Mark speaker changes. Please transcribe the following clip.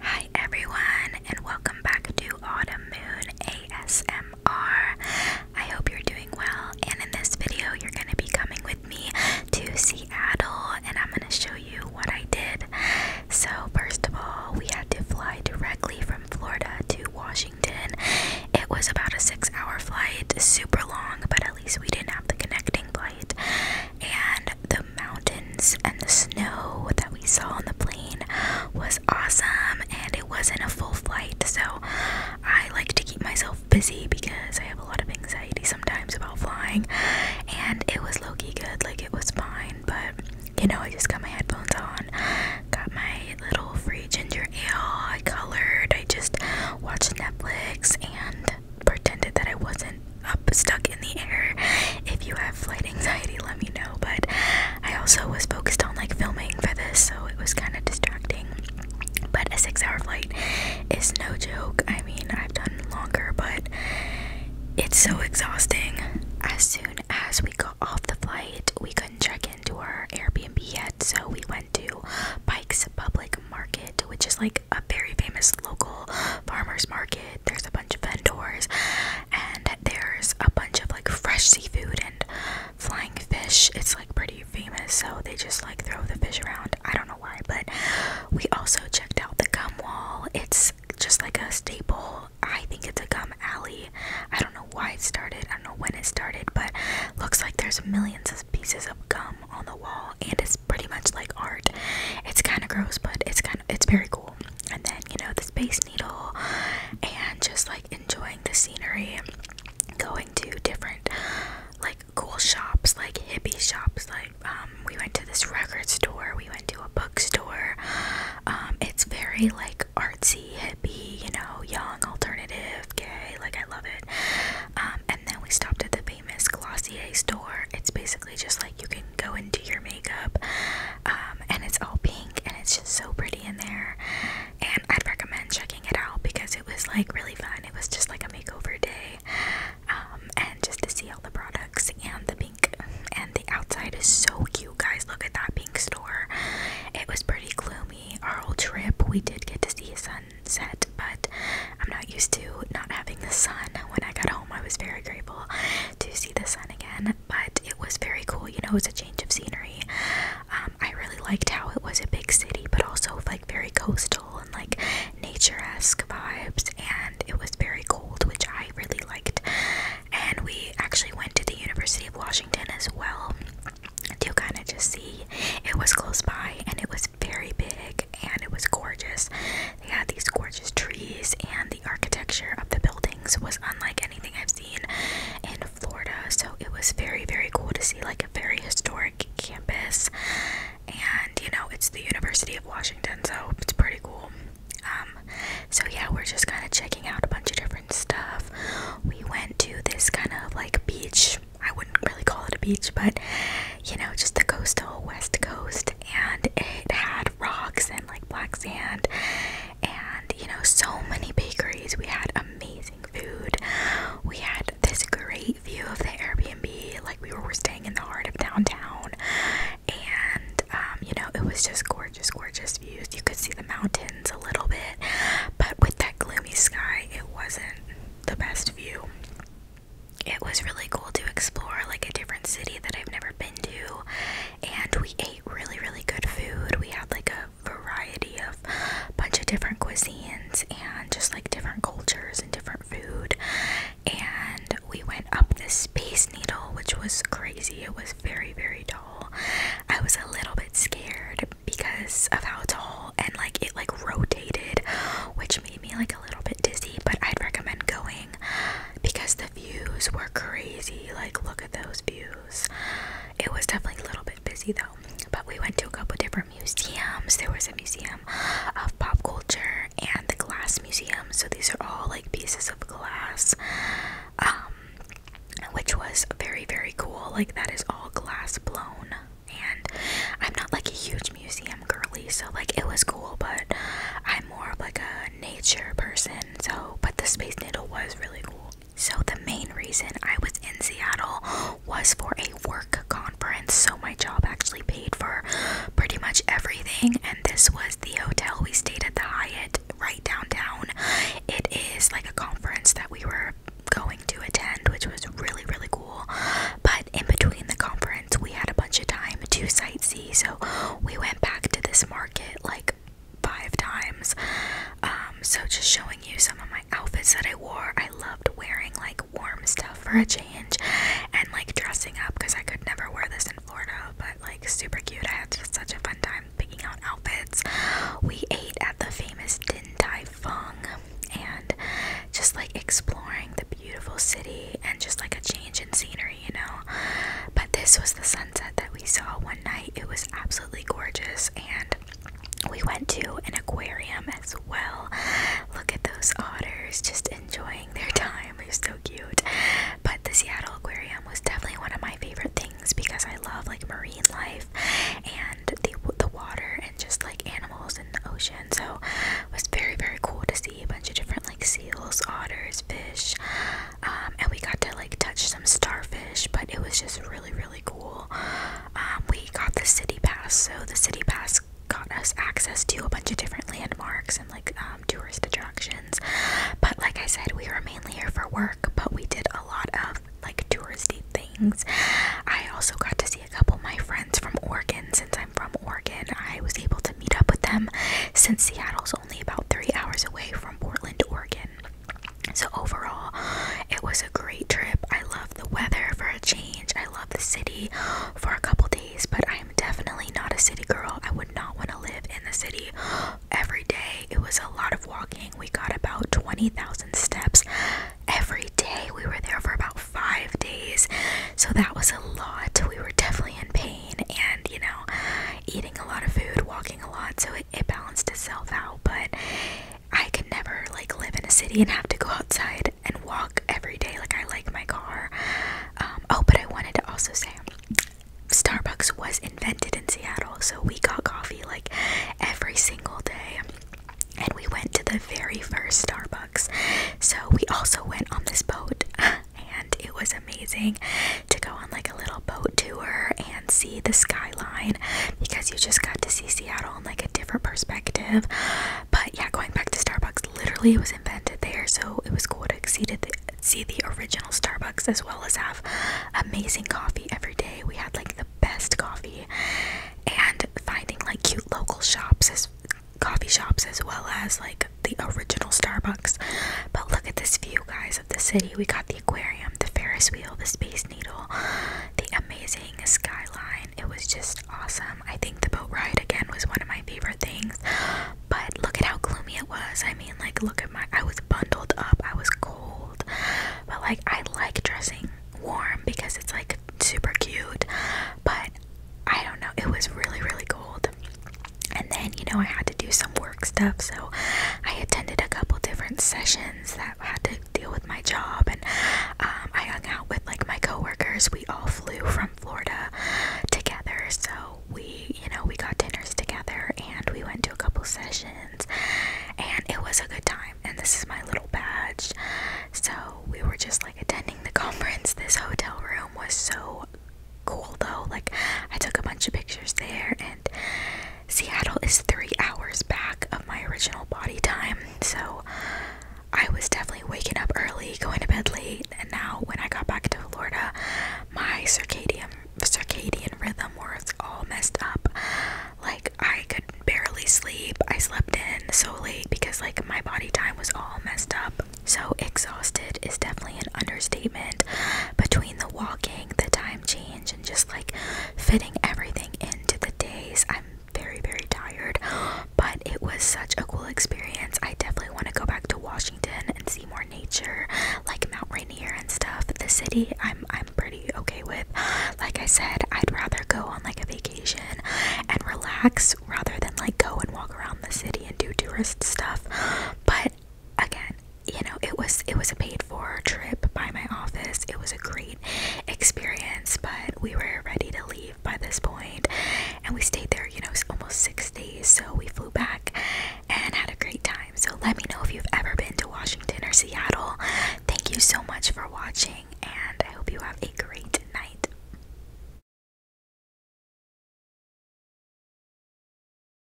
Speaker 1: Hi everyone, and welcome back to Autumn Moon ASMR. I hope you're doing well, and in this video, you're going to be coming with me to Seattle, and I'm going to show you what I did. So, first of all, we had to fly directly from Florida to Washington. It was about a six hour flight, super long, but at least we didn't have the connecting flight. And the mountains and the snow that we saw on the plane was awesome and it wasn't a full flight so i like to keep myself busy because i have a lot of anxiety sometimes about flying and it was low-key good like it was fine but you know i just got my headphones on got my little free ginger ale i colored i just watched netflix and pretended that i wasn't up stuck in the air. If you have flight anxiety, let me know. But I also was focused on like filming for this, so it was kind of distracting. But a six hour flight is no joke. I mean, I've done longer, but it's so exhausting. As soon as we got off the flight, we couldn't check into our Airbnb yet, so we went to Bikes Public Market, which is like a very famous local farmers market. There's a bunch of vendors, and there's a bunch of like fresh seafood and flying fish. It's like pretty famous, so they just like throw the fish around. I don't know why, but we also checked out the gum wall. It's just like a staple. I think it's a gum alley. I don't know why it started. I don't know when it started, but looks like there's millions of pieces of gum on the wall and it's pretty much like art. It's kind of gross, but it's kind of it's very cool and then you know the Space Needle, and just like enjoying the scenery, going to different like cool shops, like hippie shops. Like um, we went to this record store, we went to a bookstore. Um, it's very like artsy, hippie, you know, young, alternative, gay. Like I love it. Um, and then we stopped at the famous Glossier store. It's basically just like you can go and do your makeup um, and it's all pink and it's just so pretty in there and I'd recommend checking it out because it was like really fun it was just like a makeover day um, and just to see all the products and the pink and the outside is so cute guys look at that pink store it was pretty gloomy our whole trip we did get to see a sunset but I'm not used to not having the sun when I got home I was very grateful to see the sun again, but it was very cool. You know, it was a change of scenery. Um, I really liked how it was a big city, but also like very coastal and like nature esque vibes, and it was very cold, which I really liked. And we actually went to the University of Washington as well to kind of just see. It was close by, and it was very big, and it was gorgeous. They had these gorgeous trees, and the architecture of the buildings was unlike anything I've seen in Florida. So it was very, very cool to see like a very historic campus. And you know, it's the University of Washington, so it's pretty cool. Um, so yeah, we're just kind of checking out a bunch of different stuff. We went to this kind of like beach. I wouldn't really call it a beach, but you know, just the coastal west coast and it had rocks and like black sand and you know so many bakeries we had amazing food we had this great view of the airbnb like we were staying in the heart of downtown and um, you know it was just gorgeous gorgeous views you could see the mountains a little bit but with that gloomy sky it wasn't the best view it was really cool to explore like a different city that I've never been to and we ate really really good food we had like a variety of bunch of different cuisines and just like different cultures and different food and we went up the space needle which was crazy it was very very tall i was a little bit scared because of how tall and like it like rotated which made me like a little bit dizzy but i'd recommend going because the views were crazy. Like, look at those views. It was definitely a little bit busy though, but we went to a couple different museums. There was a museum of pop culture and the glass museum. So these are all like pieces of glass. Um which was very very cool. Like that is all glass blown. And I'm not like a huge museum girly, so like it was cool, but I'm more of like a nature person so, but the Space Needle was really cool. So, the main reason I was in Seattle was for a work conference. So, my job actually paid for pretty much everything. And this was the hotel we stayed at the Hyatt right downtown. It is like a conference that we were going to attend, which was really, really cool. But in between the conference, we had a bunch of time to sightsee. So, we went back to this market like five times. Um, so just showing you some of my outfits that I wore. I loved wearing like warm stuff for a change and like dressing up because I could never wear this in Florida, but like super cute. I had such a fun time picking out outfits. We ate at the famous Din Tai Fung and just like exploring the beautiful city and just like a change in scenery you know. But this was the sunset that we saw one night. It was absolutely gorgeous, and we went to an aquarium as well. Look at those otters just enjoying their time. They're so cute. But the Seattle Aquarium was definitely one of my favorite things because I love like marine life and the the water and just like animals in the ocean. So it was very very cool to see a bunch of different like seals, otters, fish, um, and we got to like touch some starfish, but it was just really, really cool. Um, we got the city pass, so the city pass got us access to a bunch of different landmarks and like um, tourist attractions. But like I said, we were mainly here for work, but we did a lot of like touristy things. I also got to see a couple of my friends from Oregon. Since I'm from Oregon, I was able to meet up with them since Seattle's only about three hours away from Portland, Oregon. So, overall, it was a great trip. I love the weather for a change. I love the city for a couple days, but I am definitely not a city girl. I would not want to live in the city every day. It was a lot of walking. We got about 20,000 steps every day. We were there for about five days. So, that was a lot. We were definitely in pain, and you know, eating a lot of food, walking a lot, so it, it balanced itself out. But I could never like live in a city and have to go outside and walk every day. Like I like my car. Um, oh, but I wanted to also say. Starbucks was invented in Seattle, so we got coffee like every single day. And we went to the very first Starbucks. So we also went on this boat and it was amazing to go on like a little boat tour and see the skyline because you just got to see Seattle in like a different perspective. But yeah, going back to Starbucks, literally it was invented there, so it was cool to exceed the, see the original Starbucks as well as have amazing coffee every day. We had like the best coffee and finding like cute local shops as coffee shops as well as like the original Starbucks. But look at this view, guys the city. We got the aquarium, the Ferris wheel, the Space Needle, the amazing skyline. It was just awesome. I think the boat ride again was one of my favorite things. But look at how gloomy it was. I mean, like, look at my. I was bundled up, I was cold. But, like, I like dressing warm because it's like super cute. But I don't know, it was really, really cold. And then, you know, I had to do some work stuff, so I attended a couple different sessions that had to deal with my job. And um, I hung out with like my coworkers. We all flew from Florida together, so we, you know, we got dinners together and we went to a couple sessions, and it was a good time. And this is my little badge. So we were just like attending the conference. This hotel room was so cool though. Like, I took a bunch of pictures there, and Seattle is three hours back of my original body time. So, I was definitely waking up early, going to bed late, and now when I got back to Florida, my circadian circadian rhythm was all messed up. Like, I could barely sleep. I slept in so late because like my body time was all messed up. So exhausted is definitely an understatement. Between the walking, the time change and just like fitting everything into the days. I'm very, very tired, but it was such a cool experience. I definitely want to go back to Washington and see more nature, like Mount Rainier and stuff. The city, I'm I'm pretty okay with. Like I said, I'd rather go on like a vacation and relax rather than like go and walk around the city and do tourist stuff. But again, you know, it was it was a paid for trip by my office. It was a great experience, but we were ready to leave by this point, and we stayed there. You know, almost six days, so we flew back and had a great time. So let me know if you've ever been to Washington or Seattle. Thank you so much for watching, and I hope you have a great night.